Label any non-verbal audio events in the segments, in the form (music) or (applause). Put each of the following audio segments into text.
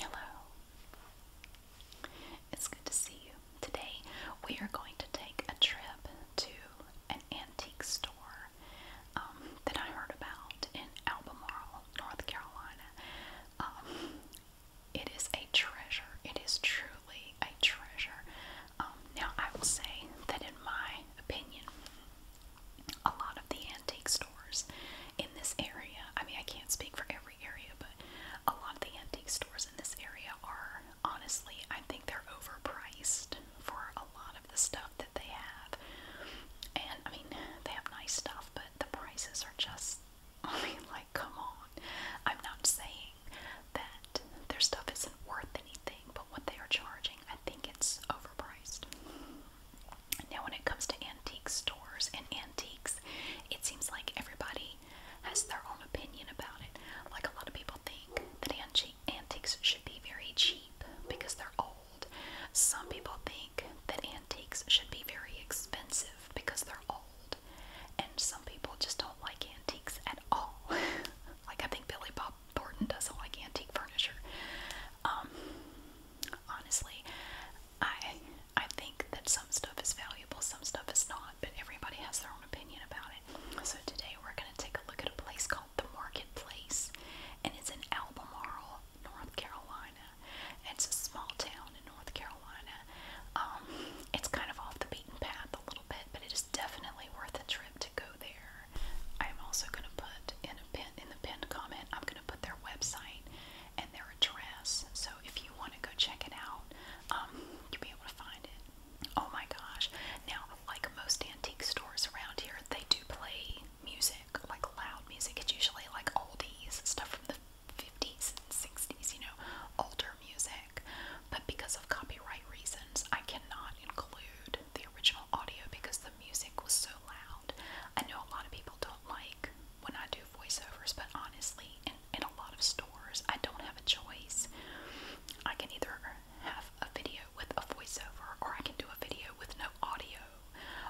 Hello. It's good to see you. Today we are going to take a trip to an antique store um, that I heard about in Albemarle, North Carolina. Um, it is a treasure. It is truly a treasure. Um, now I will say that in my opinion, a lot of the antique stores in this area. I mean, I can't speak for every area, but a lot of the antique stores in this area are honestly, I think they're overpriced for a lot of the stuff that they have. And I mean, they have nice stuff, but the prices are just, (laughs) I like, come on. I'm not saying that their stuff isn't worth anything, but what they are charging, I think it's overpriced. Now, when it comes to antique stores and antiques, it seems like everybody has their own opinion about it. Like a lot of people think that antiques should be very cheap because they're old. Some people think that antiques should be very expensive because they're old. And some people just don't like antiques at all. (laughs) like I think Billy Bob Thornton doesn't like antique furniture. Um, honestly, I I think that some stuff is valuable, some stuff is not, but everybody has their own opinion about it. So today we're going to take a look at a place called The Marketplace, and it's in Albemarle, North Carolina. It's a small town in North Carolina. Um, it's kind of off the beaten path a little bit, but it is definitely worth a trip to go there. I'm also going to put in a pin in the pinned comment. I'm going to put their website and their address. So if you want to go check it out, um, you'll be able to find it. Oh my gosh. Now, like most antique stores around here, they do play music, like loud music. It's usually like oldies, stuff from the 50s and 60s, you know, older music. But because of copyright reasons, I cannot include the original audio because the music was so loud. I know a lot of people don't like when I do voiceovers, but honestly, in, a lot of stores, I don't have a choice. I can either have a video with a voiceover, or I can do a video with no audio,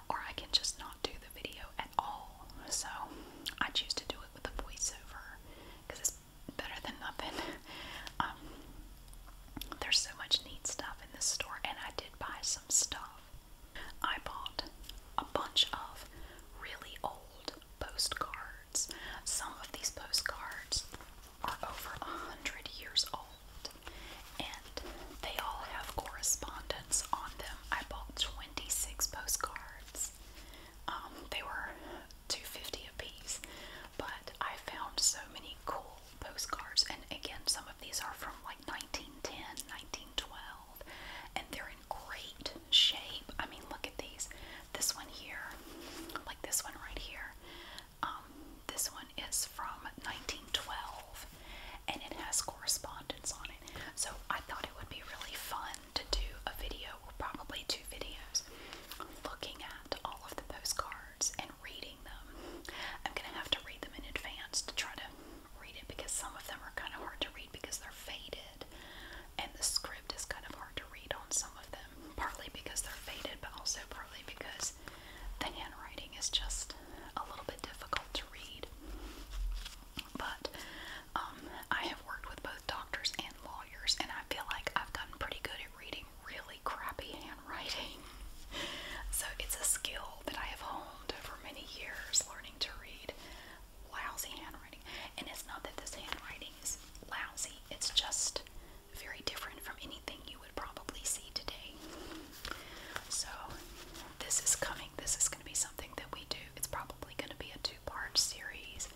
or I can just not do the video at all. So I choose to do it with a voiceover because it's better than nothing. (laughs) Um, there's so much neat stuff in this store, and I did buy some stuff. I bought a bunch of really old postcards. Some of these postcards are over a hundred years old, and they all have correspondence on them. I bought 26 postcards. Um, they were 250 a piece, but I found so many cool postcards. And again, some of these are from like 1910, 1912. And they're in great shape. I mean, look at these. This one here, like this one right here. Um, this one is from 1912 and it has correspondence on it. So I thought it would be really fun to do a video, or probably two videos, looking at all of the postcards and reading them. I'm going to have to read them in advance to try to read it because some of them are kind of hard to read because they're faded, and the script is kind of hard to read on some of them, partly because they're faded, but also partly because the handwriting is just a little bit difficult to read. But um, I have worked with both doctors and lawyers, and I feel like I've gotten pretty good at reading really crappy handwriting. (laughs) So it's a skill that I have honed over many years learning to read lousy handwriting. And it's not that this handwriting is lousy, it's just very different from anything you would probably see today. So, this is coming. This is going to be something that we do. It's probably going to be a two part series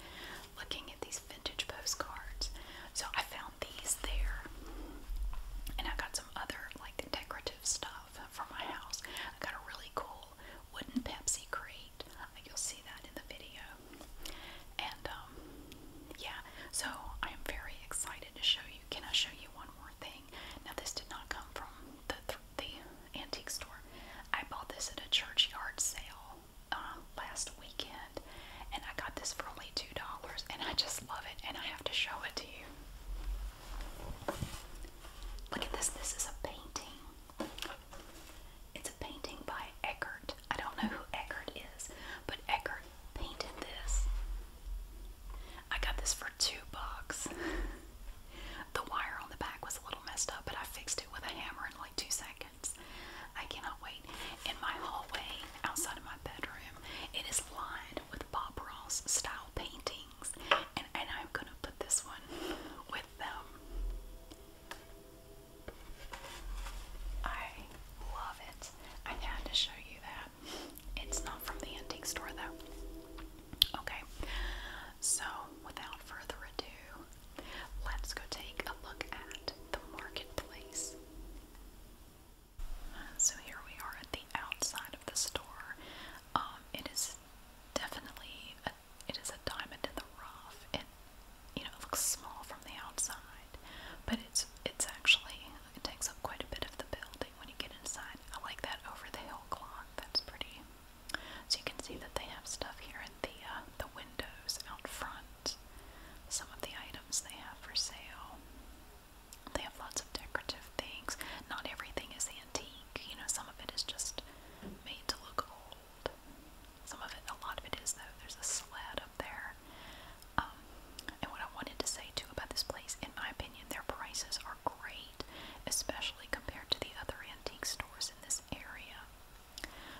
looking at these vintage postcards. So, I found these there, and I got some other like decorative stuff for my house. I got a really cool wooden Pepsi crate. Uh, you'll see that in the video. And um, yeah, so I am very excited to show you. Can I show you one more thing? Now this did not come from the antique store. I bought this at a church yard sale uh, last weekend, and I got this for only two dollars. And I just love it, and I have to show it to you. Look at this. This is a painting. It's a painting by Eckert. I don't know who Eckert is, but Eckert painted this. I got this for two bucks. (laughs) the wire on the back was a little messed up, but I fixed it with a hammer in like two seconds. I cannot wait. In my hallway outside of my bedroom, it is lined with Bob Ross style painting and, I'm gonna put this one with them. I love it. I had to show you that. It's not from the antique store though. Okay, so without further ado, let's go take a look at the marketplace. So here we are at the outside of the store. Um, it is definitely a it is a diamond in the rough. It, you know, it looks small from the outside, but it's it's actually it takes up quite a bit of the building when you get inside. I like that over the hill clock. That's pretty. So you can see that they have stuff here at the uh, the windows out front. Some of the items they have for sale. They have lots of decorative things. Not everything is antique. You know, some of it is just made to look old. Some of it, a lot of it is though. There's a sled up there. Um, and what I wanted to say too about this place, in my opinion, their prices are great, especially compared to the other antique stores in this area.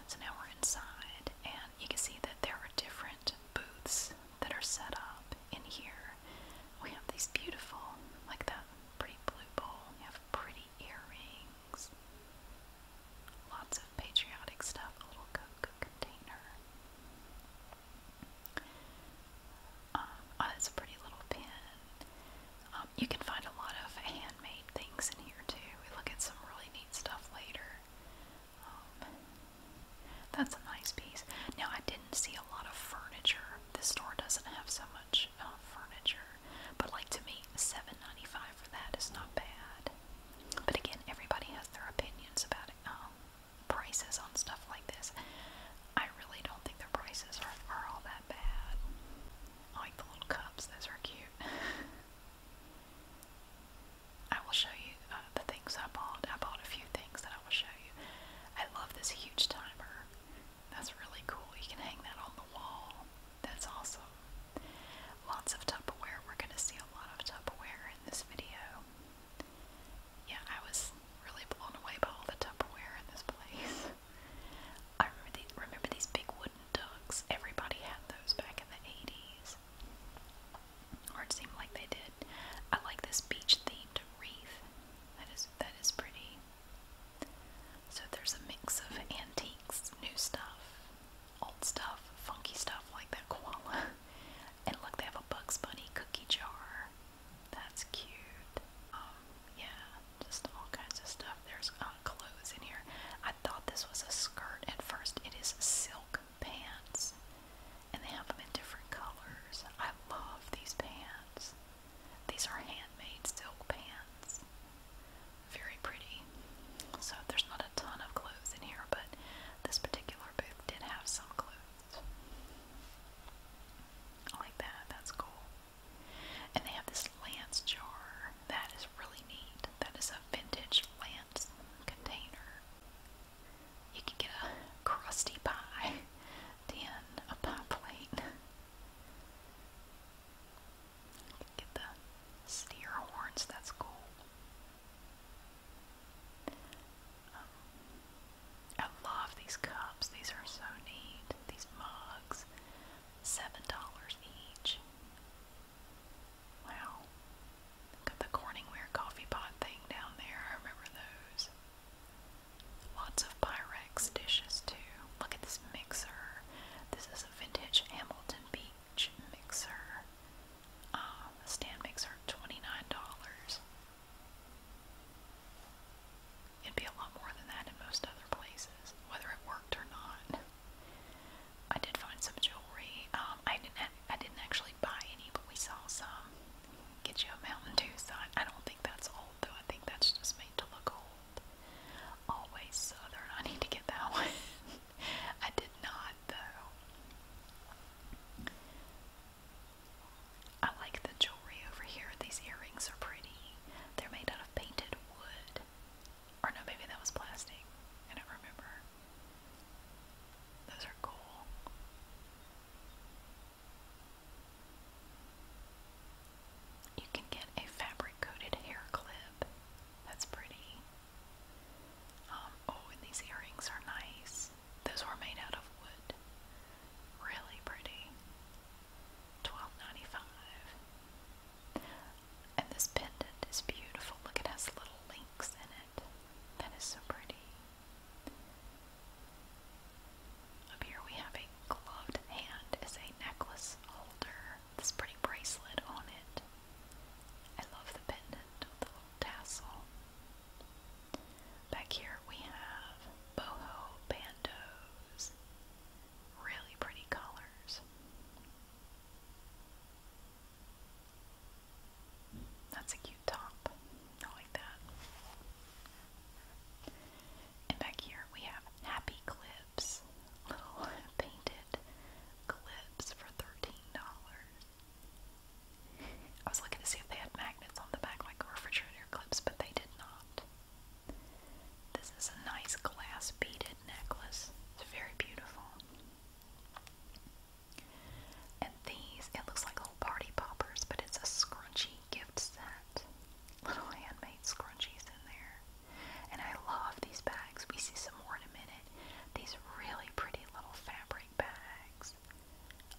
So now we're inside, and you can see that there are different booths that are set up in here. We have these beautiful, like that pretty blue bowl. We have pretty earrings, lots of patriotic stuff, a little Coke container. Um, oh, that's a pretty little pin. Um, you can find a lot of handmade things in here too. We look at some really neat stuff later. Um, that's a nice piece. Now, I didn't see a lot of furniture. This store doesn't have so much much uh, furniture, but like to me, seven ninety five for that is not bad. But again, everybody has their opinions about um, prices on stuff like this. I really don't think their prices are, are all that bad. I like the little cups; those are cute. (laughs) I will show you uh, the things I bought. I bought a few things that I will show you. I love this huge timer. That's really cool. You can hang that on the wall. That's awesome. Lots of Tupperware. We're going to see a lot of Tupperware in this video. Yeah, I was really blown away by all the Tupperware in this place. (laughs) I remember these, big wooden ducks. Everybody had those back in the 80s. Or it seemed like they did. I like this beach themed wreath. That is that is pretty. So there's a mix of antiques, new stuff, old stuff, funky stuff like that koala. (laughs) And look, they have a Bugs Bunny cookie jar. That's cute. Um, yeah, just all kinds of stuff. There's uh, clothes in here. I thought this was a skirt at first. It is silk pants, and they have them in different colors. I love these pants. These are handmade silk pants. Very pretty. So there's not a ton of clothes in here, but this particular booth did have some clothes. I like that. That's cool. And they have this lance jar. That is really neat. That is a vintage lance container. You can get a crusty pie (laughs) tin, a pie plate. Get the steer horns, that's cool. Um, I love these cups, these are so neat. These mugs, $7 each. Wow. Got the Corningware coffee pot thing down there, I remember those. Lots of Pyrex dishes too. Look at this mixer. This is a vintage Hamilton Beach mixer. Um, a stand mixer, $29. It'd be a lot more than that in most other places, whether it worked or not. I did find some jewelry. Um, I didn't. I didn't actually buy any, but we saw some. Get you a Mountain Dew sign. I don't think that's old though. I think that's just made to look old. Always Southern. I need to get that (laughs) one. I did not, though. I like the jewelry over here. These earrings are pretty. They're made out of painted wood. Or no, maybe that was plastic. I don't remember. Those are cool. You can get a fabric coated hair clip. That's pretty. Um, oh, and these earrings are nice. Those were made out of wood. Really pretty. Twelve ninety five. And this pendant is beautiful. Look, it has little links in it. That is so pretty. Up here we have a gloved hand as a necklace holder. This pretty bracelet on it. I love the pendant the little tassel. Back here we have boho bandos. Really pretty colors. That's a cute top. I like that. And back here we have happy clips little (laughs) painted clips for $13. I was looking to see if they had magnets on the back like refrigerator clips, but they did not. This is a nice glass beaded necklace. It's very beautiful. And these, it looks like little party poppers, but it's a scrunchy gift set. Little handmade scrunchies in there. And I love these bags. We see some more in a minute. These really pretty little fabric bags.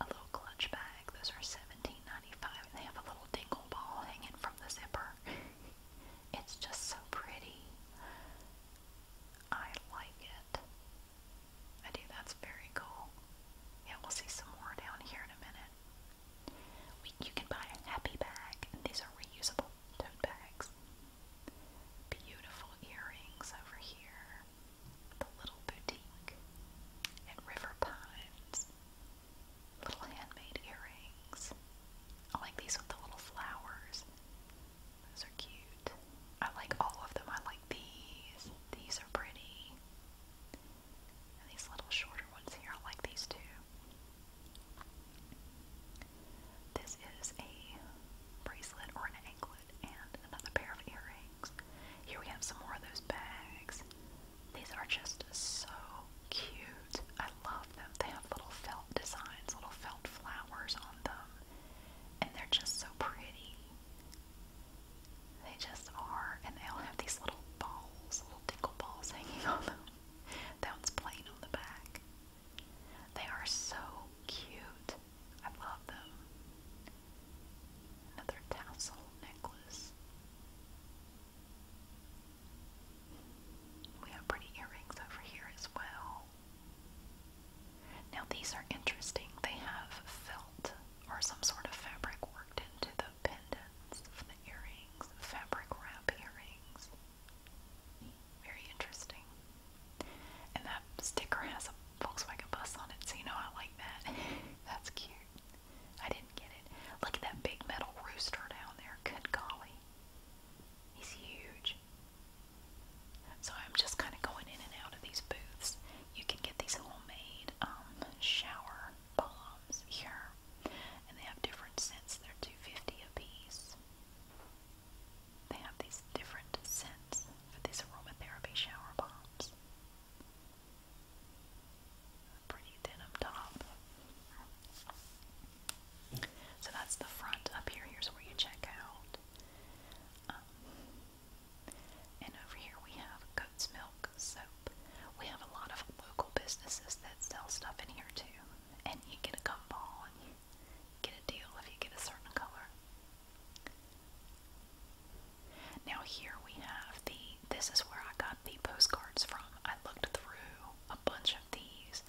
A little clutch bag. Those are $17.95 and they have a little dingle ball hanging from the zipper. (laughs) it's just so pretty. I like it. I do. That's very cool. Yeah, we'll see some more down here in a minute you can buy a happy bag, these are reusable tote bags. Beautiful earrings over here. The little boutique at River Pines. Little handmade earrings. I like these with the little flowers. Those are cute. I like all of them. I like these. These are pretty. these little shorter ones here, I like these too. This is a bracelet or an anklet and another pair of earrings. Here we have some more of those bags. These are just so cute. I love them. They have little felt designs, little felt flowers on them, and they're just so pretty. They just are, and they all have these little balls, little tinkle balls hanging on them. That plain on the back. They are so cute. I love them. Another tassel necklace. We have pretty earrings over here as well. Now these are interesting. They have felt or some sort of fabric worked into the pendants of the earrings, fabric wrap earrings. Very interesting. And that sticker has a Volkswagen bus on it, so you know I like that. (laughs) That's cute. I didn't get it. Look at that big metal rooster down there. Good golly. He's huge. So I'm just kind of going in and out of these booths. You can get these homemade um, shower bombs here and they have different scents. They're two fifty a piece. They have these different scents for these aromatherapy shower bombs. A pretty denim top. So that's the front up here. Here's where you check out. Um, and over here we have goat's milk soap. We have a lot of local businesses that sell stuff in here too and you get a gumball and you get a deal if you get a certain color. Now here we have the this is where I got the postcards from. I looked through a bunch of these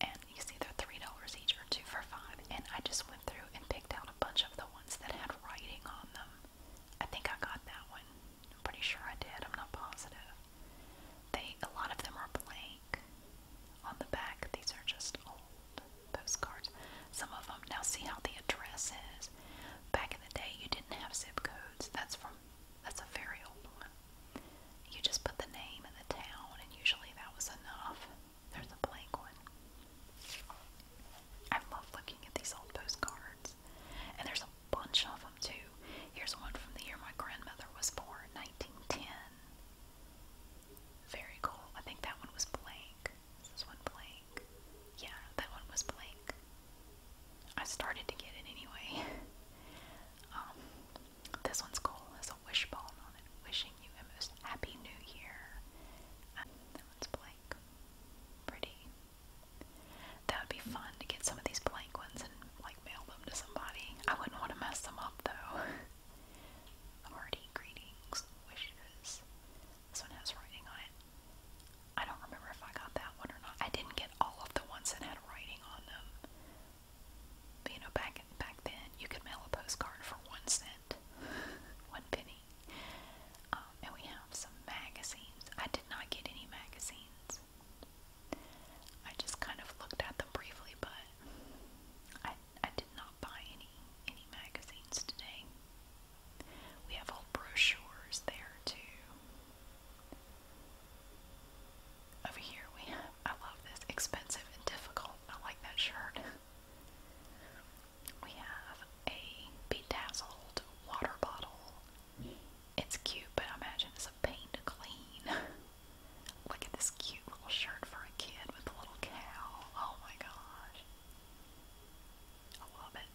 and you see they're three dollars each or two for five and I just went through and picked out a bunch of the ones that had writing on them. I think I got that one. I'm pretty sure I did. I'm not positive. They a lot of them are blank on the back. These are just old postcards. Some of them now see how the address is. Back in the day, you didn't have zip codes. That's from that's a very old one. You just put the name and the town, and usually that was enough. There's a blank one. I love looking at these old postcards. And there's a bunch of them too. Here's one from the year my grandmother was born, 1910. Very cool. I think that one was blank. this one blank? Yeah, that one was blank. I started to get it anyway. (laughs) Um, this one's cool. Has a wishbone on it, wishing you a most happy new year. Um, that one's blank. Pretty. That would be fun to get some of these blank ones and like mail them to somebody. I wouldn't want to mess them up though. Hearty (laughs) greetings, wishes. This one has writing on it. I don't remember if I got that one or not. I didn't get all of the ones that had writing on them. you know, back back then, you could mail a postcard for one cent, (laughs) one penny. Um, and we have some magazines. I did not get any magazines. I just kind of looked at them briefly, but I I did not buy any any magazines today. We have all brochures there too. Over here we have I love this expensive and difficult. I like that shirt. We have a bedazzled water bottle it's cute, but I imagine it's a pain to clean. (laughs) Look at this cute little shirt for a kid with a little cow. Oh my gosh. I love it.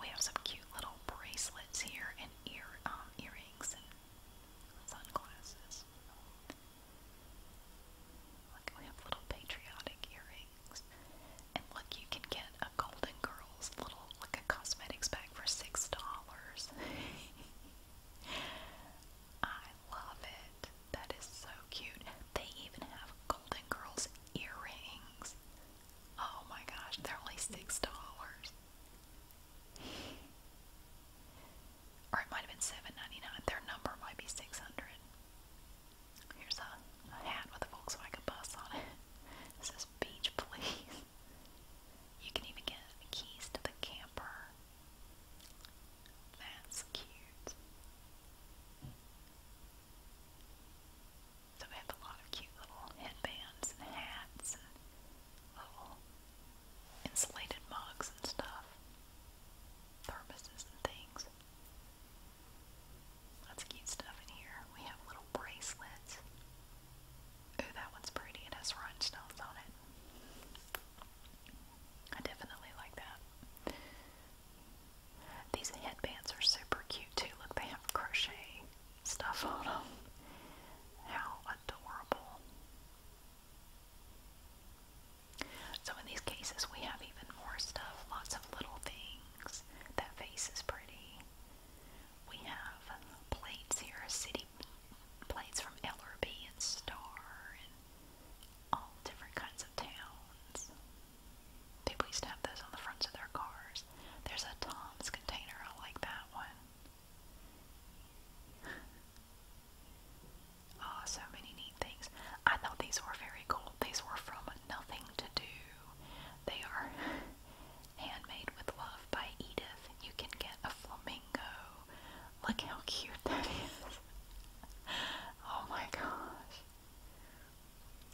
We have some cute little bracelets here and ear um, earrings and sunglasses. Look, we have little patriotic earrings. And look, you can get Golden Girls little like a cosmetics bag for six dollars. (laughs) I love it. That is so cute. They even have Golden Girls earrings. Oh my gosh, they're only six dollars. Or it might have been seven ninety nine. Their number might be six hundred. Here's a hat with a Volkswagen bus on it. It says beach, please. (laughs) You can even get keys to the camper. That's cute. So we have a lot of cute little headbands and hats little insulated mugs and stuff. Thermoses and things. Lots of cute stuff in here. We have little bracelets. Ooh, that one's pretty. It has rhinestones on it. I definitely like that. These headbands are super cute too. Look, they have crochet stuff on them. How adorable. So, in these cases, we have even more stuff lots of little things. That face is pretty. We have plates here, city plates from Ellerby and Star and all different kinds of towns. People used to have those on the fronts of their cars. There's a Tom's container. I like that one. oh, (laughs) so many neat things. I thought these were very cool. These were from Nothing to Do. They are (laughs) Handmade with Love by Edith. You can get a flamingo. Look how cute that is. (laughs) oh my gosh.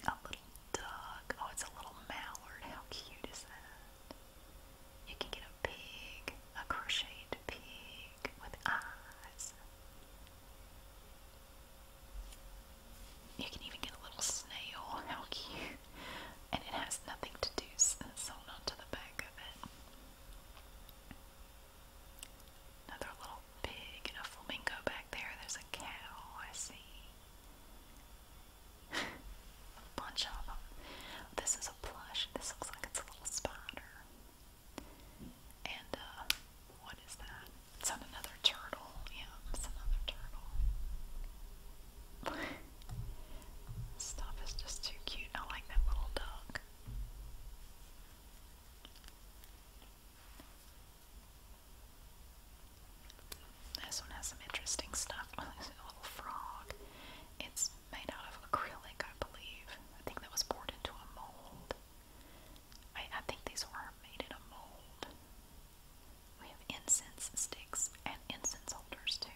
A little duck. Oh, it's a little mallard. How cute is that? You can get a pig, a crocheted pig with eyes. You can even get a little snail. How cute and it has nothing to do sewn onto the back of it. Another little pig and a flamingo back there. There's a cow, I see. (laughs) a bunch of them. This is a plush. This looks like it's a little spider. And, uh, what is that? It's another turtle. Yeah, it's another turtle. Stuff is just too cute. I like that little dog. This one has some interesting stuff. Oh, there's (laughs) a little frog. It's made out of acrylic, I believe. I think that was poured into a mold. I, think these were made in a mold. We have incense sticks and incense holders too.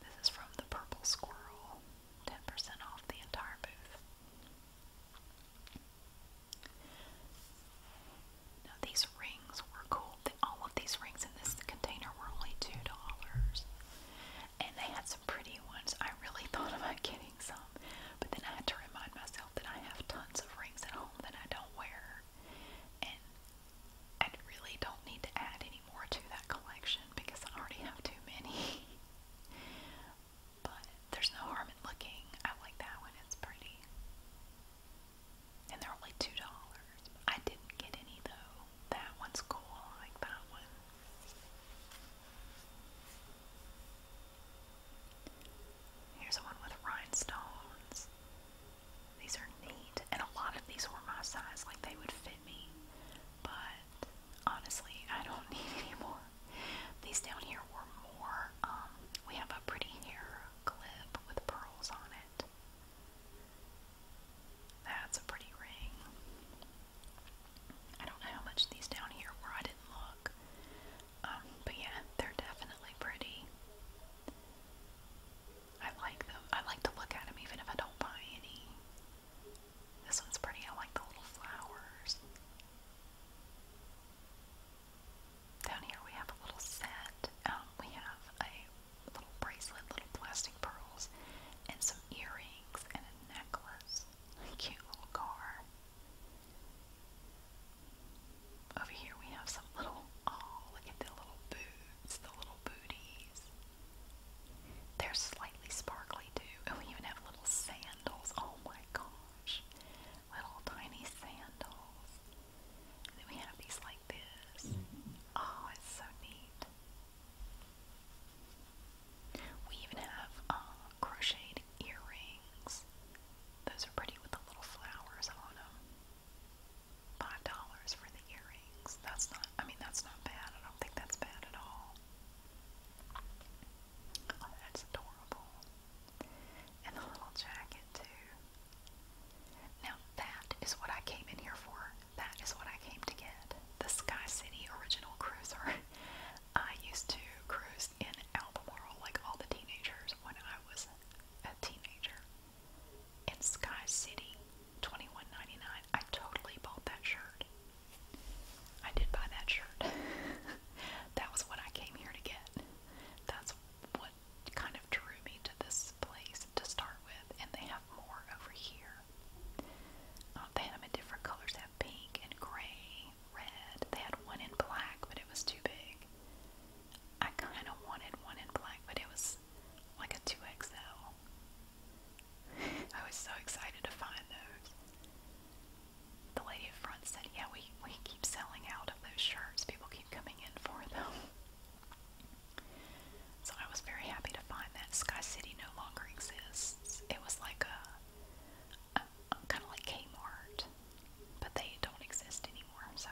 This is from the Purple Squirrel. 10% off the entire booth. Now these rings were cool. all of these rings in this container were only $2. And they had some pretty ones. I really (laughs) thought about getting some. But then I had to remind myself myself that I have tons of rings at home that I don't wear, and I really don't need to add any more to that collection because I already have too many. (laughs) but there's no harm in looking. I like that one, it's pretty. And they're only $2. I didn't get any though. That one's cool. I like that one. Here's one with rhinestones. These are neat, and a lot of these were my size, like they would fit me. But honestly, I don't (laughs) need any more. These down here were more. Um, we have a pretty hair clip with pearls on it. That's a pretty ring. I don't know how much these down here were. I didn't look. Um, but yeah, they're definitely pretty. I like them. I like to look at them even if I don't buy any. This one's pretty. I like the little flowers. Down here we have a little set. Um, we have a little bracelet, little plastic pearls, and some earrings and a necklace. (laughs) cute little car. Over here we have some little, oh, look at the little boots, the little booties. They're slightly sparkly too. And (laughs) we even have little sandals. Oh my gosh. Little tiny sandals. then we have these like this. Oh, it's so neat. We even have uh, crocheted earrings. Those are pretty with the little flowers on them. Five dollars for the earrings. That's not, I mean, that's not bad. I don't think that's bad at all. Oh, that's adorable. And the little jacket, too. Now, that is what I came in here for. That is what I came to get. The Sky City Original Cruiser. (laughs) I used to cruise in Albemarle like all the teenagers when I was a teenager in Sky City, twenty one ninety nine. I totally bought that shirt. I did buy that shirt. (laughs) that was what I came here to get. That's what kind of drew me to this place to start with, and they have more over here. Um, they had them in different colors. have pink and gray, red. They had one in black, but it was too big. I kind of wanted one in black, but it was like a 2XL. I was so excited to find those. The lady at front said, Yeah, we, we keep selling out of those shirts. People keep coming in for them. So I was very happy to find that Sky City no longer exists. It was like a, kind of like Kmart, but they don't exist anymore. So,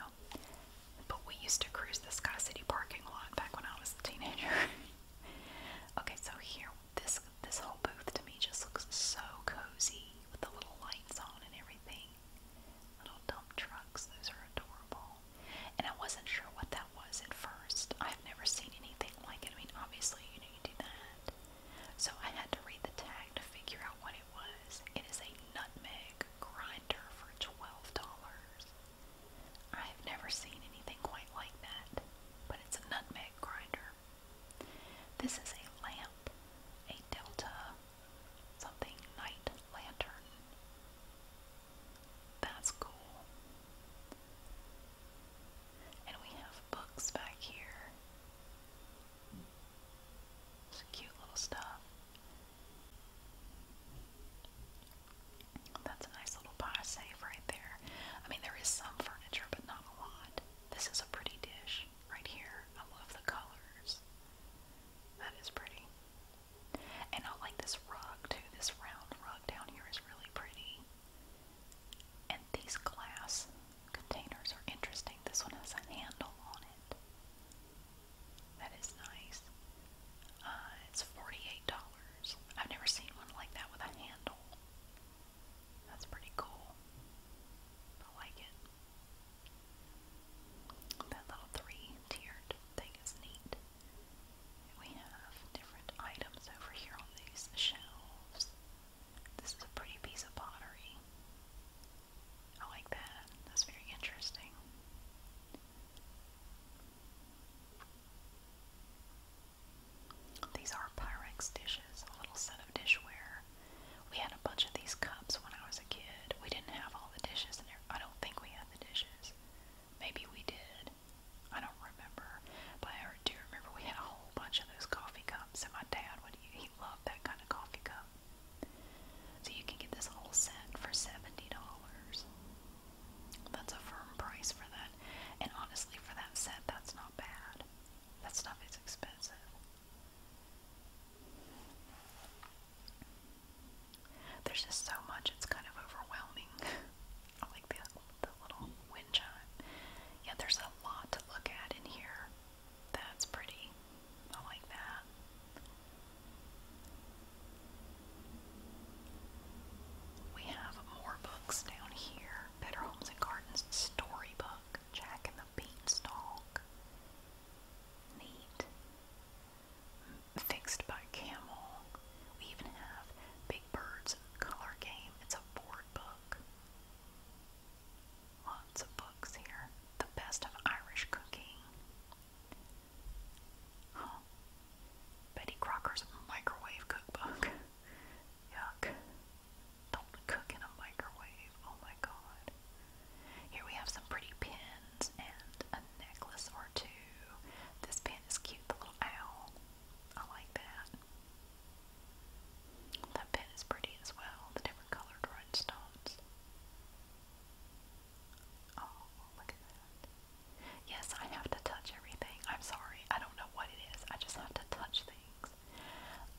but we used to cruise the Sky City parking lot back when I was a teenager. (laughs) okay, so here this this whole booth to me just looks so cozy with the little lights on and everything. Little dump trucks, those are adorable. And I wasn't sure what that was at first. I've never seen anything like it. I mean, obviously, you know, you do that. So I had to read the tag to figure out what it is a nutmeg grinder for $12. I've never seen anything quite like that, but it's a nutmeg grinder. This is a lamp, a Delta something night lantern. That's cool. And we have books back here. It's cute little stuff. That's a nice little pie safe right there. I mean, there is some furniture, but not a lot. This is a pretty dish right here. I love the colors. That is pretty. And I like this rug too. This round rug down here is really pretty. And these glass containers are interesting. This one has a handle on it. That is nice. Uh, it's $48. I've never seen one like that with a handle. That's pretty cool. I like it. That little three-tiered thing is neat. We have different items over here on these shelves. This is a pretty piece of pottery. I like that. That's very interesting. These are Pyrex dishes, a little set of dishware. We had a bunch of these cups when I was a kid. We didn't have all the dishes in there. I don't think we had the dishes. Maybe we did. I don't remember. But I do remember we had a whole bunch of those coffee cups, and my dad would he loved that kind of coffee cup. So you can get this whole set for $70. That's a firm price for that. And honestly, for that set, that's not bad. That stuff is expensive. There's just so much, it's kind of overwhelming. (laughs) like the little wind chime. Yeah, there's a lot to look at in here. That's pretty. I like that. We have more books down here. Better Homes and Gardens Storybook, Jack and the Beanstalk. Neat. Fixed by Camel. We even have Big Bird's Color Game. It's a board book. Lots of books here. The best of Irish cooking. Huh. Betty Crocker's microwave cookbook. Yuck. Don't cook in a microwave. Oh my god. Here we have some pretty pins and a necklace or two. This pin is cute, the little owl. I like that. That pin is pretty as well, the different colored rhinestones. Oh, look at that. Yes, I have to touch everything. I'm sorry. I don't know what it is. I just have to touch things.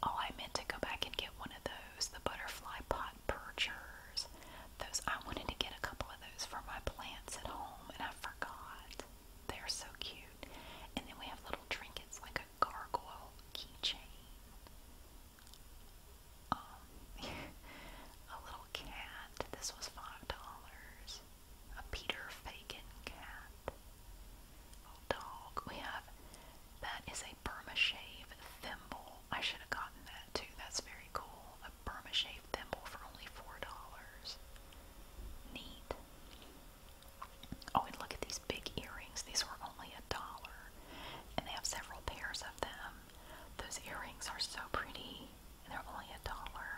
Oh, I meant to go back and get one of those, the butterfly pot perchers. Those I wanted to get a couple of those for my plants at home and I forgot. They're so cute. And then we have little trinkets like a gargoyle keychain. Um, (laughs) a little cat. This was five dollars. A Peter Fagan cat. A We have that is a Burmashave thimble. I should have gotten that too. That's very cool. A Burmashave thimble for only four dollars. Neat. Oh, and look at these big earrings. These were only a dollar. And they have several pairs of those earrings are so pretty, and they're only a dollar.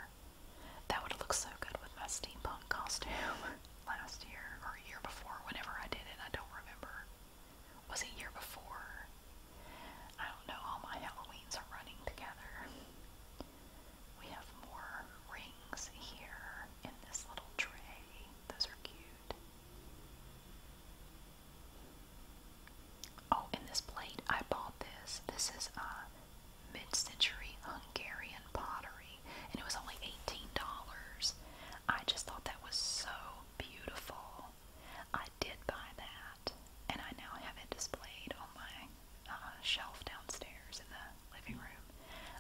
That would look so good with my steampunk costume (laughs) last year or a year before, whenever I did it. I don't remember. Was it year before? I don't know. All my Halloweens are running together. We have more rings here in this little tray. Those are cute. Oh, in this plate, I bought this. This is a uh, mid-century Hungarian pottery, and it was only eighteen dollars. I just thought that was so beautiful. I did buy that, and I now have it displayed on my uh, shelf downstairs in the living room.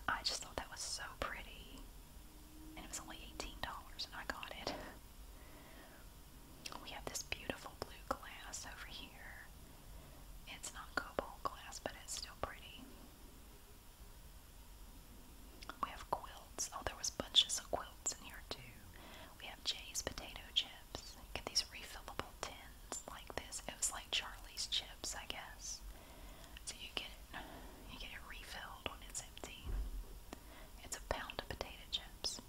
I just thought that was so pretty and it was only $18 and I got it. We have this beautiful blue glass over here. It's not cobalt glass, but it's still pretty. We have quilts. Oh, there was bunches of quilts in here too. We have Jay's potato chips. Get these refillable tins like this. It was like Charlie's chips, I guess. So you get it, you get it refilled when it's empty. It's a pound of potato chips.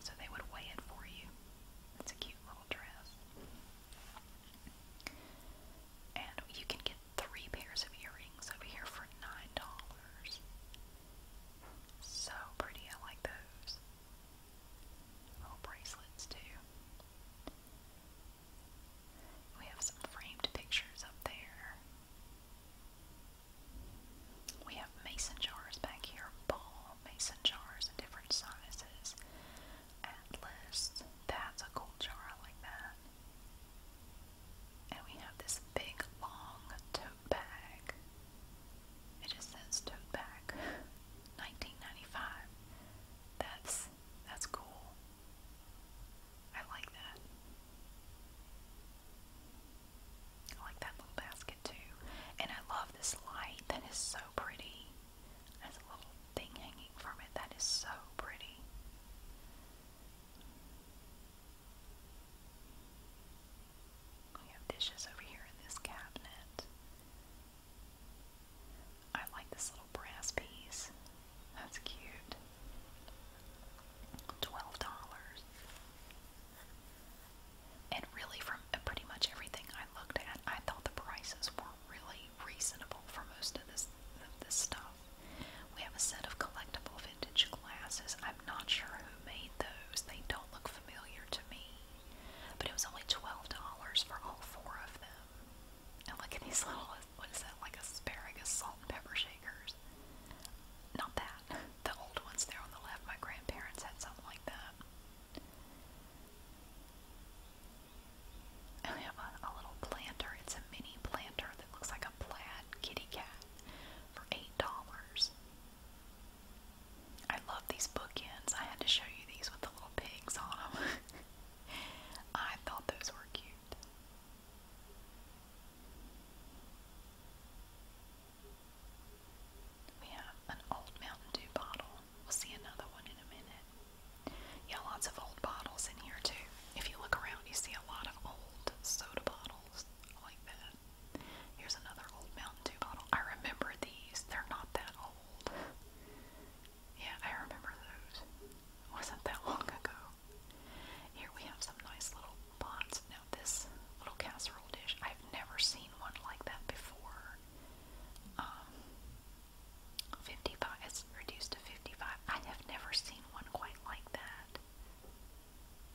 So they would weigh it for you. It's a cute little dress. And you can get three pairs of earrings over here for nine dollars. So pretty, I like those. Little bracelets too. We have some framed pictures up there. We have mason jars back here, ball mason jars in different sizes. Atlas, that's a cool jar, like that. And we have this big long tote bag. It just says tote bag. 1995. That's that's cool. I like that. I like that little basket too. And I love this light. That is so pretty. There's a little thing hanging from it. That is so pretty. We have dishes over here in this cabinet. I like this little brass piece. That's cute twelve dollars. And really, from uh, pretty much everything I looked at, I thought the prices were really reasonable for most of this of stuff. We have a set of collectible vintage glasses. I'm not sure who made those. They don't look familiar to me. But it was only twelve dollars for all four of them. And look at these little what is that, like asparagus salt and pepper shakers? Not that. (laughs) The old ones there on the left, my grandparents had something like that. And (laughs) have a little planter. It's a mini planter that looks like a plaid kitty cat for $8. I love these bookends. I had to show you these with the little pigs on them. (laughs) I thought those were cute. We have an old Mountain Dew bottle. We'll see another one in a minute. Yeah, lots of old bottles in here too. If you look around, you see a lot of old soda bottles like that. Here's another old Mountain Dew bottle. I remember these. They're not that old. Yeah, I remember those. wasn't that long ago. Here we have some nice little pots. Now this little casserole dish, I've never seen one like that before. Um, 55, it's reduced to 55. I have never seen one quite like that.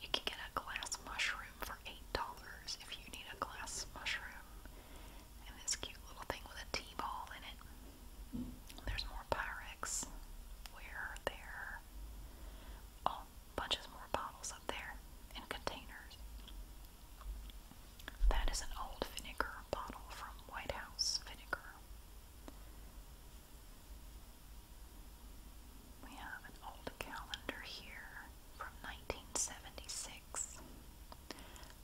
You can get a glass mushroom for $8 if you need a glass mushroom. And this cute little thing with a T-ball in it. There's more Pyrex ware there bunch of more bottles up there and containers. That is an old vinegar bottle from White House Vinegar. We have an old calendar here from 1976.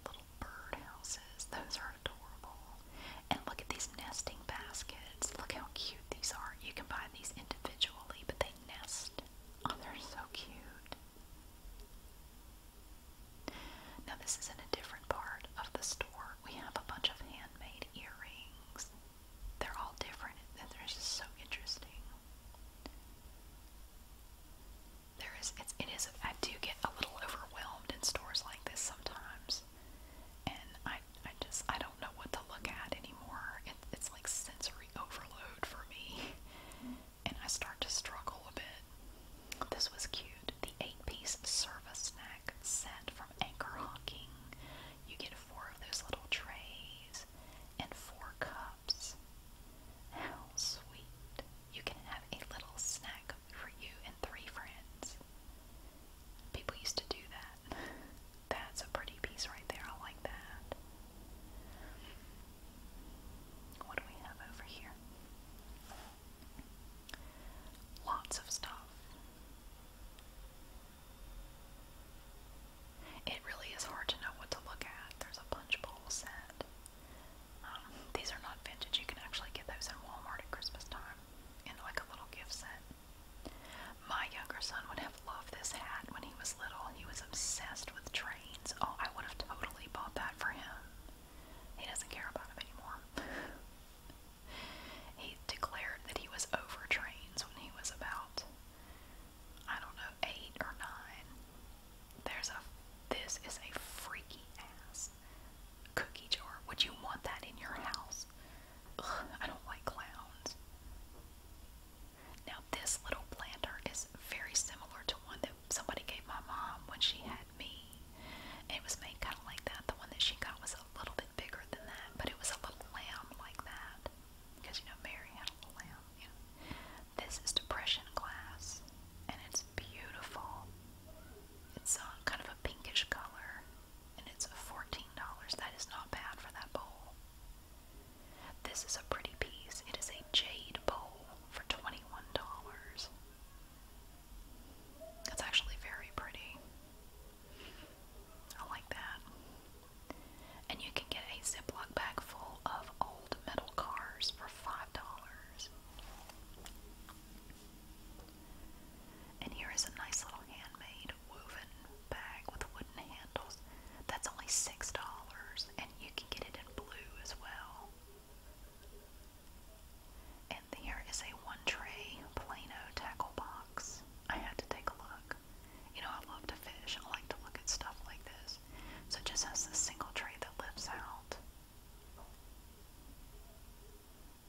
Little bird those are adorable. And look at these nesting baskets. Look how cute these are. You can buy these individually, but they nest. Oh, they're so cute. Now, this is in a different part of the store. We have a bunch of handmade earrings. They're all different, and they're just so interesting. There is, it's, it is, I do get a little overwhelmed in stores like this sometimes and I, I just I don't know what to look at anymore. it's like sensory overload for me, and I start to struggle a bit. This was cute. The eight-piece service snack set from Anchor Hocking. You get four of those little trays and four cups. How sweet! You can have a little snack for you and three friends. People used to do that. (laughs) That's a pretty piece right there. I like that. What do we have over here? Lots of stuff. It really is hard to know what to look at. There's a punch bowl set. Um, these are not vintage. You can actually get those in Walmart at Christmas time in like a little gift set. My younger son would have loved this hat when he was little. He was obsessed with trains. Oh, I would have totally bought that for him. He doesn't care about them anymore. (laughs) he declared that he was over trains when he was about, I don't know, eight or nine. There's a, this is a freaky ass cookie jar. Would you want that in your house? I don't like clowns. Now, this little planter is very similar to one that somebody gave my mom when she had me. it was made kind of like that. The one that she got was a little bit bigger than that, but it was a little lamb like that. Because, you know, Mary had a lamb. You know. This is depression glass, and it's beautiful. It's uh, kind of a pinkish color and it's $14. That is not bad for that bowl. This is a pretty piece. It is a jade bowl for $21. That's actually very pretty. I like that. And you can get a Ziploc bag full of old metal cars for $5. And here is a nice little handmade woven bag with wooden handles. That's only $6, and you can get it in blue as well. And there is a one tray Plano tackle box. I had to take a look. You know, I love to fish, I like to look at stuff like this. So it just has this single tray that lives out.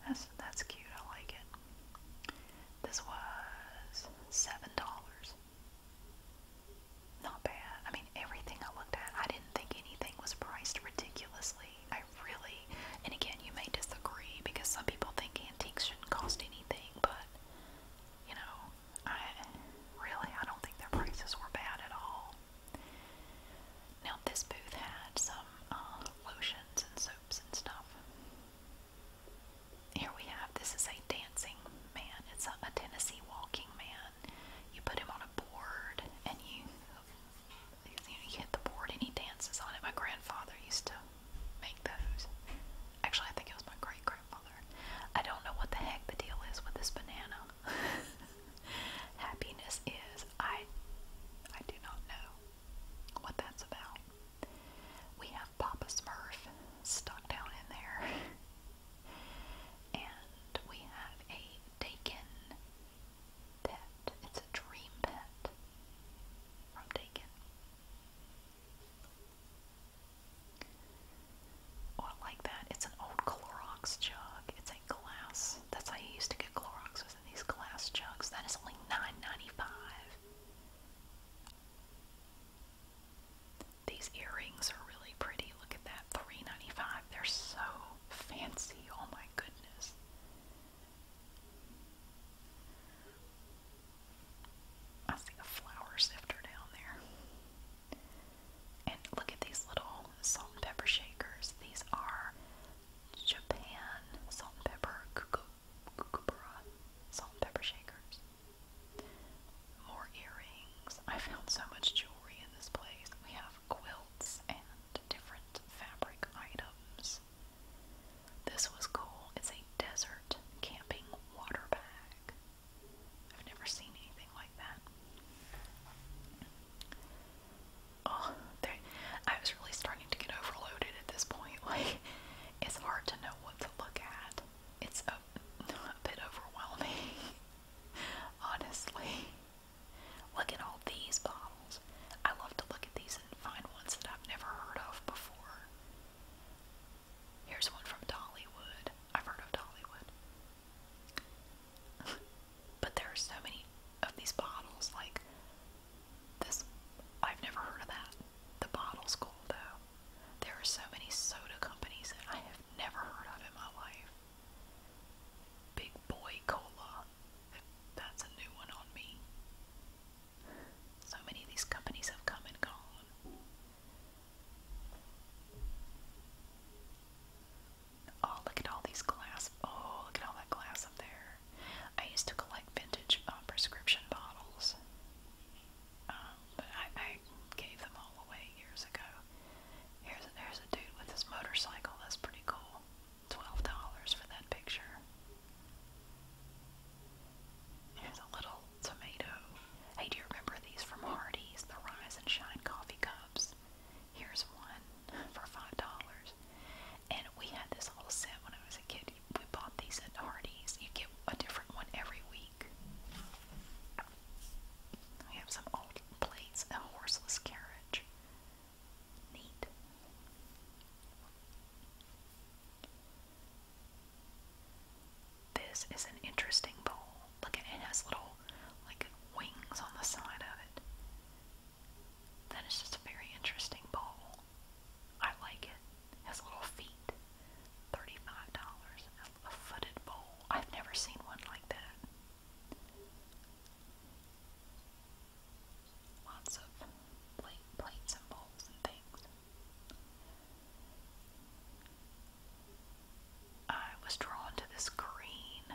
That's, that's cute, I like it. This was seven dollars. Not bad. I mean, everything I looked at, I didn't think anything was priced ridiculously. I really, and again, you may disagree because some people think antiques shouldn't cost anything, but you know, I really, I don't think their prices were bad at all. Now, this booth had some uh, lotions and soaps and stuff. Here we have this is a dancing man. It's a, Tennessee walking man. You put him on a board and you, you hit the board and he dances on it. My grandfather used to make those. Actually, I think it was my great grandfather. I don't know what the heck the deal is with this banana. (laughs) Happiness is I I do not know what that's about. We have Papa Smurf stuck down in there. and we have a Dakin pet. It's a dream pet from Dakin. Oh, I like that. It's an old Clorox jug. It's a glass. That's how you used to get Clorox was in these glass jugs. That is only $9.95. These earrings are really pretty. Look at that, three They're so fancy. Oh my goodness. I see a flour sifter down there. And look at these little salt and pepper shakers. These are Japan salt and pepper kuko kookaburra salt and pepper shakers. More earrings. I found so much jewelry in this place. We have quilts and different fabric items. This was cool. It's a desert camping water bag. I've never seen anything like that. Oh, I was really starting to get overloaded at this point. (laughs) Like, it's hard to know what to look at. It's a, (laughs) bit overwhelming, (laughs) honestly. Look at all these bottles. I love to look at these and find ones that I've never heard of before. Here's one from Dollywood. I've heard of Dollywood. (laughs) but there are so many of these bottles, like this. I've never heard of that. The bottle's cool though. There are so many soda companies that I have never heard of in my life. Big Boy Cola. That's a new one on me. So many of these companies have come and gone. Oh, look at all these glass. Oh, look at all that glass up there. I used to collect vintage uh, prescription bottles. Um, but I, gave them all away years ago. Here's a, here's a dude with his motorcycle. That's pretty cool. Twelve dollars for that picture. Here's a little tomato. Hey, do you remember these from Hardee's? The Rise and Shine coffee cups. Here's one for five dollars. And we had this whole set when I was a kid we bought these at Hardee's. You get a different one every week. We have some old plates, a horseless carriage. Neat. This is an interesting bowl. Look it has little like wings on the side of it. That is just a very interesting bowl. I like it. Has little feet. Thirty-five dollars. A footed bowl. I've never seen one like that. Lots of plate, plates and bowls and things. I was drawn to this green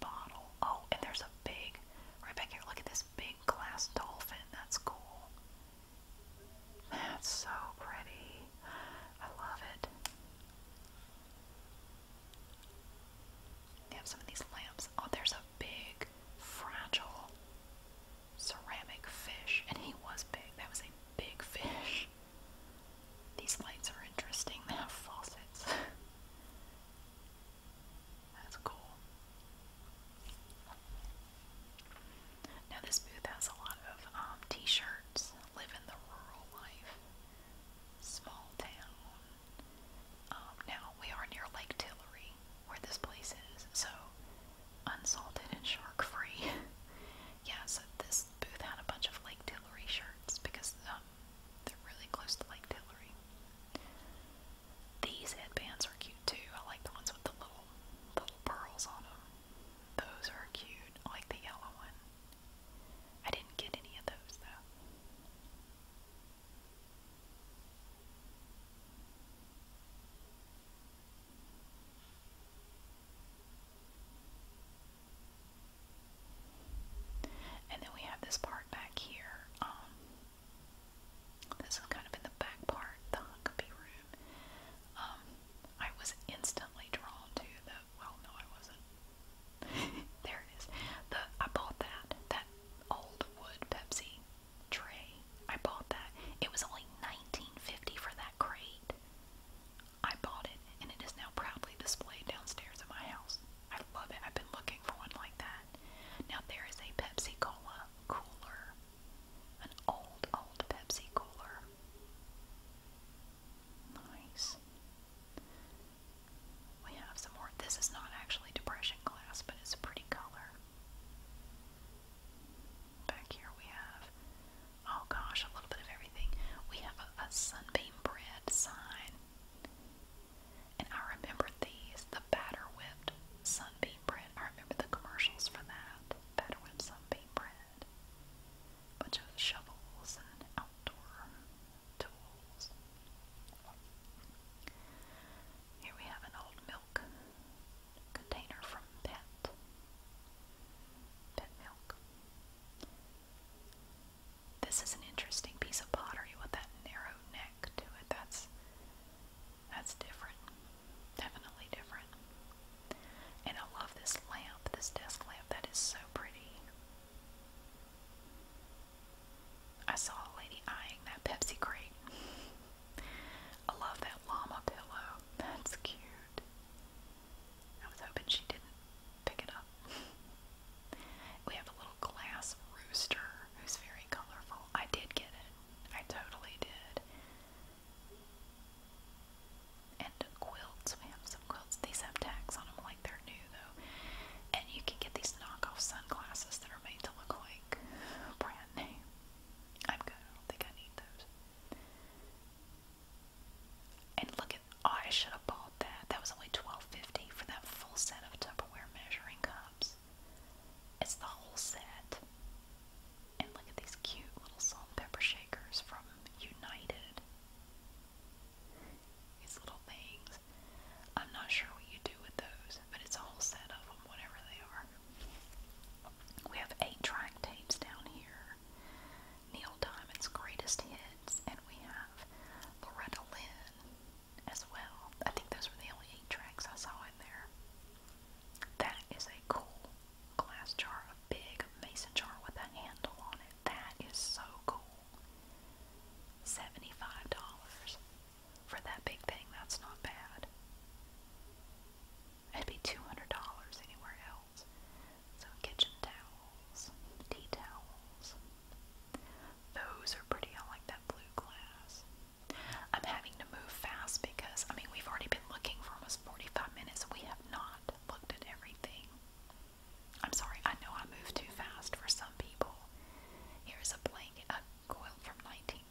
bottle. Oh, and there's a big, right back here, look at this big glass dolphin. That's cool. That's so pretty. I love it. They have some of these lamps. Oh, there's a big, fragile ceramic fish. And he was big. That was a big fish. These lights are interesting. They have faucets. (laughs) That's cool. Now, this booth has a lot of um, t shirts, Live in the rural life, small town. Um, now, we are near Lake Tillery, where this place is, so unsalted and shark free. (laughs) yeah, so this booth had a bunch of Lake Tillery shirts because um, they're really close to Lake Tillery. These headbands are cute too. I like the ones with the little little pearls on them. Those are cute. I like the yellow one. I didn't get any of those though. And then we have this part back here. Um, this is kind of in the back part, the Huckabee room. Um, I was instantly drawn to the. Well, no, I wasn't. (laughs) there it is. The I bought that that old wood Pepsi tray. I bought that. It was only nineteen fifty for that crate. I bought it, and it is now proudly displayed downstairs at my house. I love it. I've been looking for one like that. Now there is a Pepsi Cola cooler an old, old Pepsi cooler. Nice. We have some more. This is not actually depression glass, but it's a pretty color. Back here we have, oh gosh, a little bit of everything. We have a, sunbeam bread sign. And I remember these, the batter whipped sunbeam bread. I remember the commercials for that. Batter whipped sunbeam. Bunch of shovels and outdoor tools. Here we have an old milk container from Pet. Pet milk. This is an interesting piece of pottery with that narrow neck to it. That's that's different. Definitely different. And I love this lamp, this desk lamp. That is so pretty. I saw a lady eyeing that Pepsi crate. (laughs) I love that llama pillow. That's cute. I was hoping she didn't pick it up. (laughs) we have a little glass rooster who's very colorful. I did get it. I totally did. And quilts. We have some quilts. These have tags on them like they're new though. And you can get these knockoff sunglasses that are made to look like brand new. I'm good. I don't think I need those. And look at oh, I should have bought that. That was only $12.50 for that full set of Tupperware measuring cups. It's the whole set. And look at these cute little salt pepper shakers from United. These little things. I'm not sure what you do with those, but it's a whole set of them, whatever they are. We have eight track tapes down here. Neil Diamond's greatest hits, and we have Loretta Lynn as well. I think those were the only eight tracks I saw in there. That is a cool glass jar, a big mason jar with a handle on it. That is so cool. $75 for that big thing. That's not bad. It'd be $200 anywhere else. So, kitchen towels, tea towels. Those are pretty. I like that blue glass. I'm having move fast because, I mean, we've already been looking for almost 45 minutes. We have not looked at everything. I'm sorry, I know I move too fast for some people. Here's a blanket, a quilt from 1935.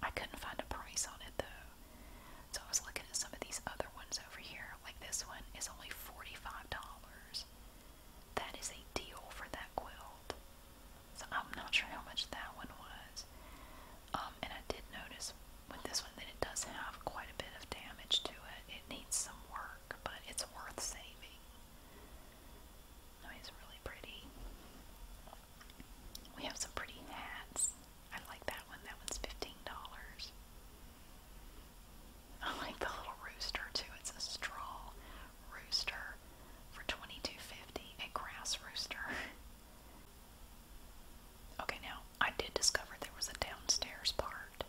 I couldn't find a price on it though. So I was looking at some of these other ones over here. Like this one is only $45. That is a deal for that quilt. So I'm not sure how much that one was was. Um, and I did notice with this one that it does have quite a bit of damage to it. It needs some work, but it's worth saving. I mean, it's really pretty. We have some pretty hats. I like that one. That one's $15. I like the little rooster too. It's a straw rooster for $22.50. A grass rooster. (laughs) Okay, now I did discover there was a downstairs part.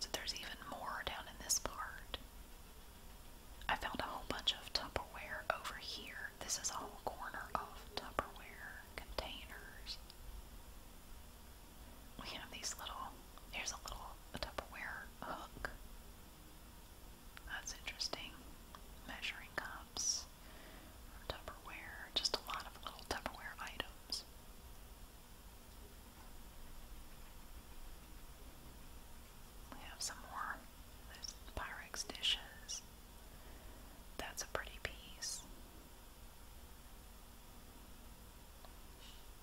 So there's even more down in this part. I found a whole bunch of Tupperware over here. This is a whole corner of Tupperware containers. We have these little, There's a little Tupperware hook. That's interesting. Measuring cup. Tupperware, just a lot of little Tupperware items. We have some more Pyrex dishes. That's a pretty piece.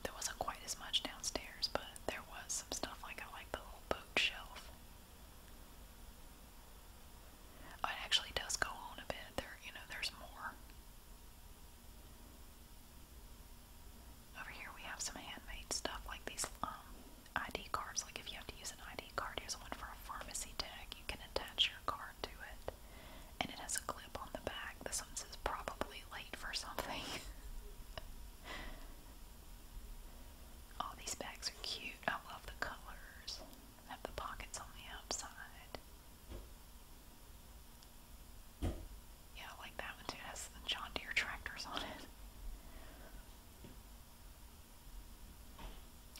There wasn't quite as much downstairs, but there was some stuff like I like the little bookshelf it actually does go on a bit. There, you know, there's more. Over here we have some handmade stuff like these um, ID cards. Like if you have to use an ID card, here's one for a pharmacy tag. You can attach your card to it, and it has a clip on the back. This one says probably late for something. (laughs) All these bags are cute. I love the colors have the pockets on the outside. Yeah, like that one too. has the John Deere tractors on it.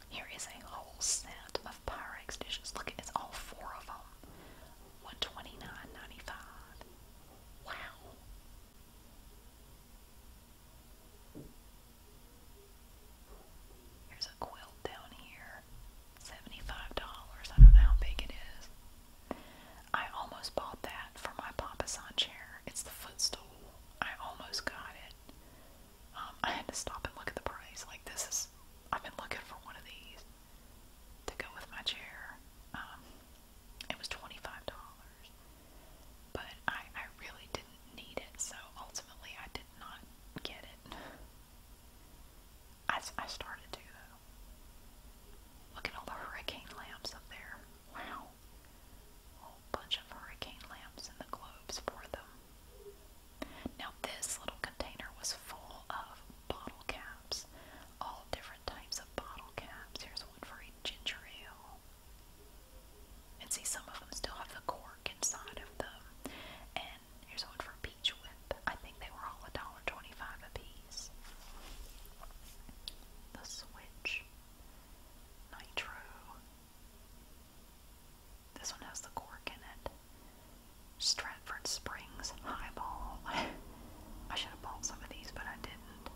Here is a whole set of Pyrex dishes. Look, it's all four of them. One twenty nine ninety five. Wow. There's a quilt down here. $75. I don't know how big it is. I almost bought that for my Papa chair. It's the footstool. I almost got it. Um, I had to stop and look at the price. Like, this is, I've been looking for one of these to go with my chair. Um, it was $25. But I, really didn't need it, so ultimately I didn't not get it. I, I started to, though. Look at all the hurricane lamps up there. Wow. whole bunch of hurricane lamps and the globes for them. Now, this little container was full of bottle caps. All different types of bottle caps. Here's one for a ginger ale. And see, some of them still have the cork inside of them. And here's one from Peach Whip. I think they were all $1.25 a piece. The Switch. Nitro. This one has the cork in it. Stratford Springs Highball. (laughs) I should have bought some of these, but I didn't.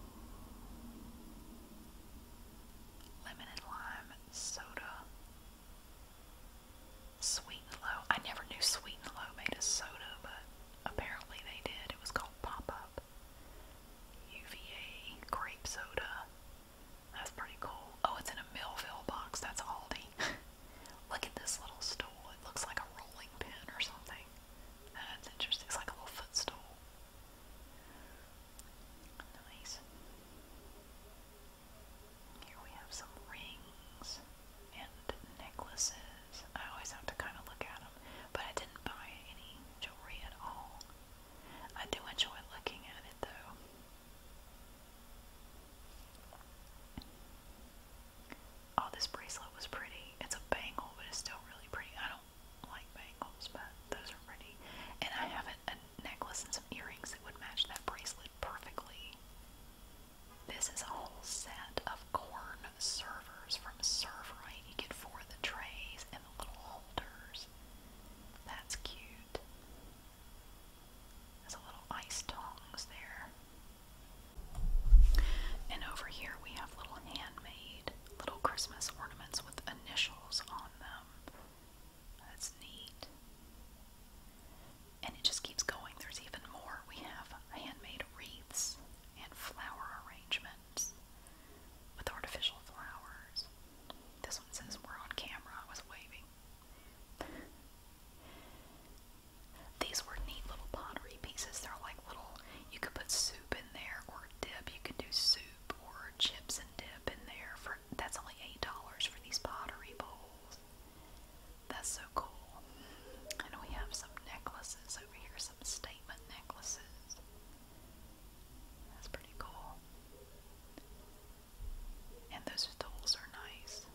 Lemon and lime soda. Sweet and Low. I never knew Sweet and Low made a soda, but apparently they did. It was called Pop Up. UVA grape soda. That's pretty cool. Oh, it's in a Millville box. That's Aldi. (laughs) Look at this little stool. It looks like a rolling pin or something. That's interesting. It's like a little footstool. Nice. Here we have some rings and necklaces. I always have to kind of look at them, but I didn't buy any jewelry at all. I do enjoy looking at it though. Oh, this bracelet was pretty. It's a bangle, but it's still really pretty. I don't like bangles, but those are pretty. And I have a necklace since earrings that would match that bracelet perfectly. This is a whole set of corn servers from Serverite. You get four of the trays and the little holders. That's cute. There's a little ice tongs there. And over here we have little handmade little Christmas ornaments with initials on them. That's neat. And it just keeps going. There's even more. We have handmade wreaths and flower arrangements with artificial flowers. This one says, We're on camera. I was waving. These were neat little pottery pieces. They're like little, you could put soup in there or dip. You could do soup or chips and dip in there for that's only eight dollars for these pottery bowls. That's so cool. And we have some necklaces over here, some statement necklaces. That's pretty cool. And those stools are nice.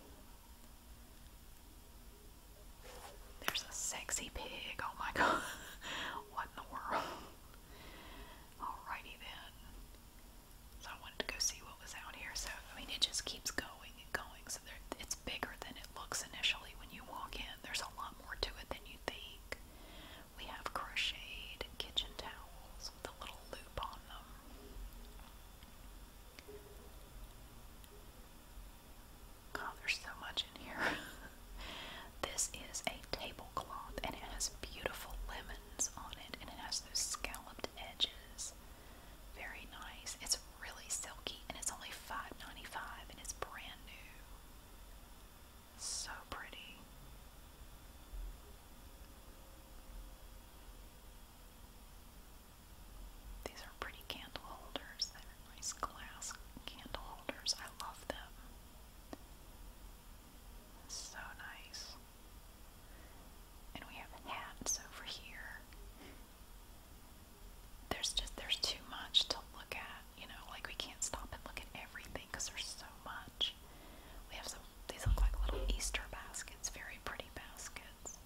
There's a sexy pig. Oh my god. (laughs) what in the world? Alrighty then. So I wanted to go see what was out here. So I mean, it just keeps going and going. So there, it's bigger than it looks initially when you walk in. There's a lot more to it than you think. We have crocheted kitchen towels with a little loop on them. God, there's so much in here. (laughs) this is a tablecloth, and it has beautiful lemon on it, and it has those scalloped edges. Very nice. It's really silky, and it's only $5.95, and it's brand new. So pretty. These are pretty candle holders. They're nice glass candle holders. I love them. So nice. And we have hats over here. There's just, there's too much to look at, you know, like we can't stop and look at everything because there's so much. We have some, these look like little Easter baskets, very pretty baskets.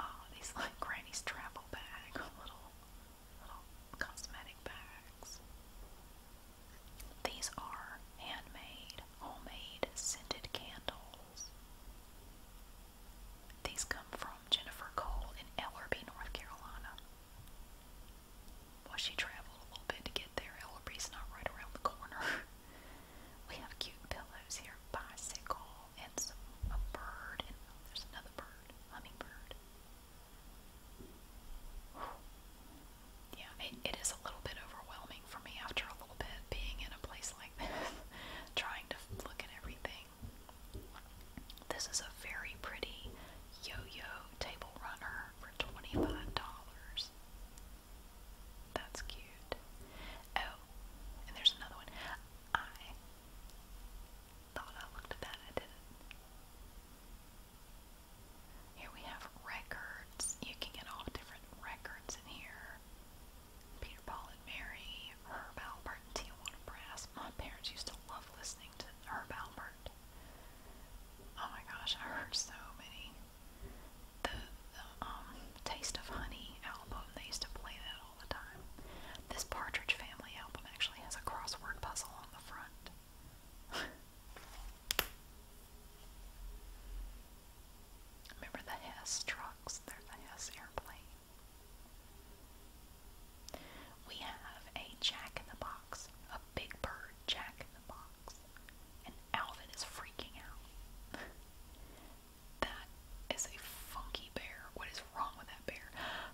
Oh, these like Granny's travel bag, (laughs) little little cosmetic bags. These are handmade, homemade scented candles. These come from Jennifer Cole in Ellerby, North Carolina. Well, she traveled a little bit to get there. Ellerby's not right around the corner. (laughs) we have cute pillows here, bicycle, and some, bird, there's another bird, hummingbird. Yeah, it is a little bit overwhelming for me after a little bit being in a place like (laughs) this, trying to look at everything. This is a very pretty yo-yo table runner for $25. That's cute. Oh, and there's another one. I thought I looked at that, I didn't. Here we have records. You can get all the different records in here. Peter, Paul, and Mary, Herb Albert, and Tijuana Brass. My parents used to love listening to Herb Albert. Oh my gosh, I heard so many. The, the um, Taste of Honey album, they used to play that all the time. This Partridge Family album actually has a crossword puzzle on the front. (laughs) Remember the Hess trucks? They're the Hess airplane. We have a jack in the box, a big bird jack in the box, and Alvin is freaking out. (laughs) that is a funky bear. What is wrong with that bear?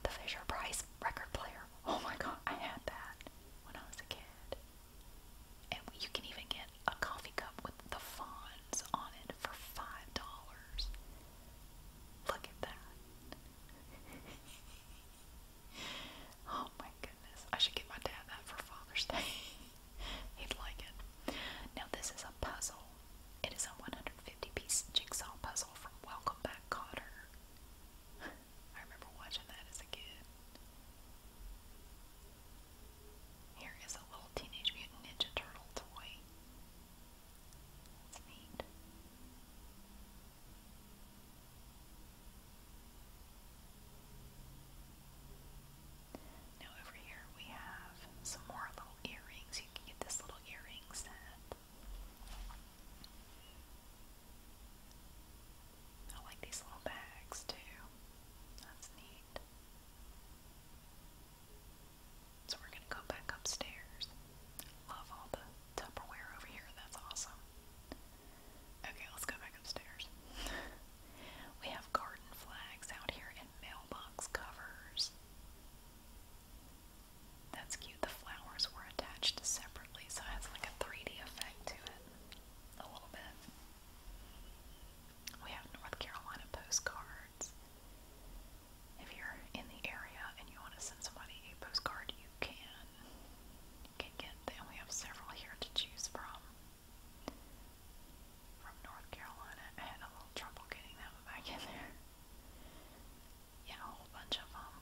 The Fisher Price record player. Oh my god, I had that when I was a kid. And you can even get a coffee cup with the fawns on it for five dollars. Look at that. (laughs) oh my goodness. I should give my dad that for Father's Day. (laughs) He'd like it. Now this is a puzzle. It is a 150 piece jigsaw puzzle from Welcome Back Cotter. I remember watching that as a kid. Here is a little Teenage Mutant Ninja Turtle toy. That's neat. Now over here we have some more little earrings. You can get this little earring set. I like these little bags too. That's neat. So we're gonna go back upstairs. Love all the Tupperware over here. That's awesome. Okay, let's go back upstairs. (laughs) we have garden flags out here and mailbox covers. That's cute. The flowers were were attached separately, so it has like a 3D effect to it a little bit. We have North Carolina postcards. If you're in the area and you want to send somebody a postcard, you can. You can get them. We have several here to choose from. From North Carolina. I had a little trouble getting that one back in there yeah, a whole bunch of um,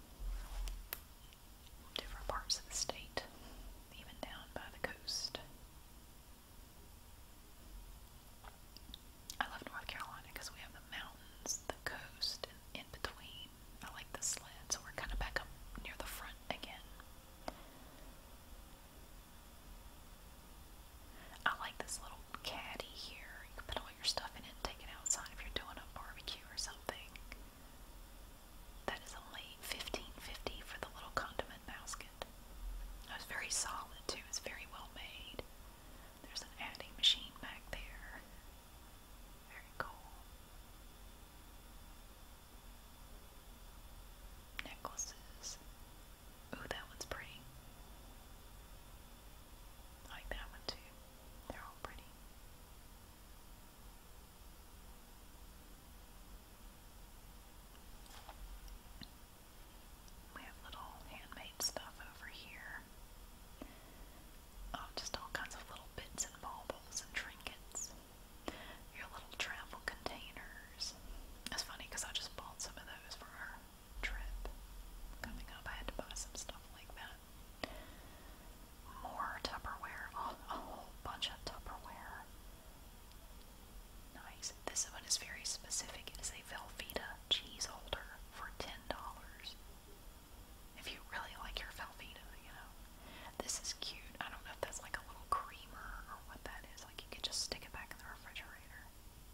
Different parts of the state, even down by the coast. I love North Carolina because we have the mountains, the coast, and in between. I like the sled, so we're kind of back up near the front again. I like this little caddy here. You can put all your stuff in it and take it outside if you're doing a barbecue or something that is only fifteen fifty for the little condiment basket. It was very solid too. It's very well made. There's an adding machine back there. Very cool. Necklaces. Ooh, that one's pretty. I like that one too. They're all pretty. We have little handmade stuff over here. Oh, just all kinds of little bits and baubles and trinkets. Your little travel containers. It's funny because I just bought some of those for our trip. Coming up, I had to buy some stuff like that. More Tupperware. a whole bunch of Tupperware. Nice. This one is very specific. It is a Velveeta cheese holder for $10. If you really like your Velveeta, you know. This is cute. I don't know if that's like a little creamer or what that is. Like you could just stick it back in the refrigerator.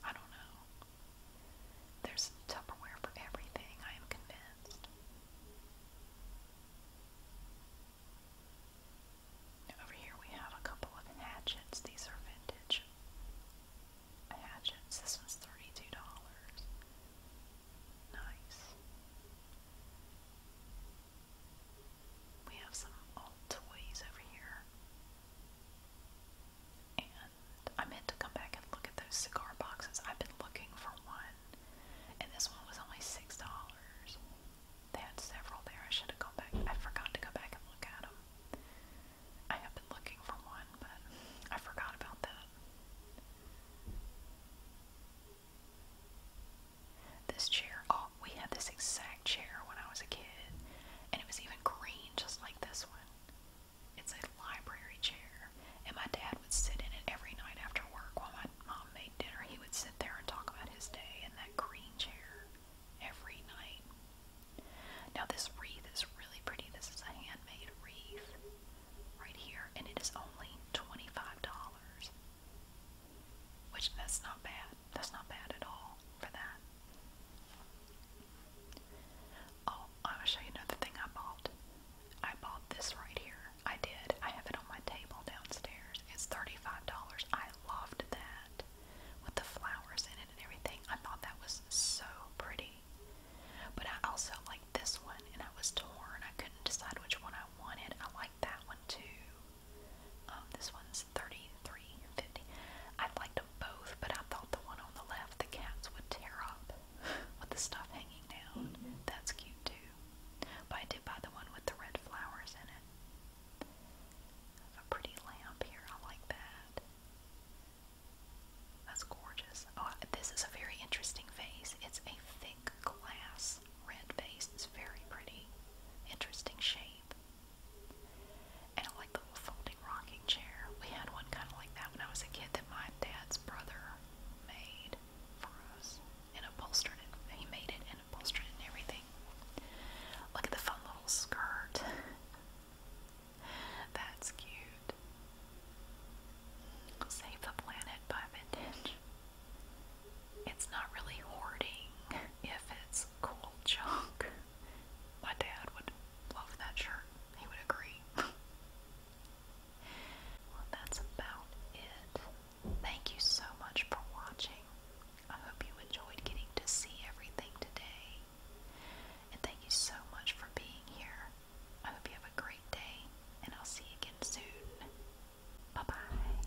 I don't know. There's Tupperware for everything, I am convinced. Over here we have a couple of hatchets. These are vintage hatchets. This one's $32. Nice. We have some old toys over here. And I meant to come back and look at those cigar boxes. I've been looking for one and this one was only six dollars. They had several there. I should have gone back. I forgot to go back and look at them. I have been looking for one, but I forgot about that. This chair, oh, we had this exact chair when I was a kid, and it was even green, just like this one. It's a library chair. And my dad would sit in it every night after work while my mom made dinner. He would sit there and talk about his day in that green chair every night. Now, this wreath is really pretty. This is a handmade wreath right here, and it is only $25. Which, that's not bad. That's not bad at all for that. Oh, I want show you another thing I bought. I bought this right here. I did. I have it on my table downstairs. It's $35. I loved that with the flowers in it and everything. I thought that was so pretty. But I also liked this one and I was torn. I couldn't decide which one I wanted. I liked that one too. Um, this one's thirty-three fifty. I liked them both, but I thought the one on the left, the cats would tear up (laughs) with the stuff hanging down. That's cute too. But I did buy the one with the red flowers in it. There's a pretty lamp here. I like that. That's gorgeous. Oh, this is a very interesting vase. It's a thick glass red vase. It's very pretty. Interesting shape. And I like the folding rocking chair. We had one kind of like that when I was a kid that my dad's brother made for us and upholstered it. He made it and upholstered and everything. Look at the fun little skirt. (laughs) That's cute. Save the Planet by Vintage. It's not really hoarding if it's cool junk. My dad would love that shirt. He would agree. (laughs) well, that's about it. Thank you so much for watching. I hope you enjoyed getting to see everything today. And thank you so much for being here. I hope you have a great day, and I'll see you again soon. Bye bye.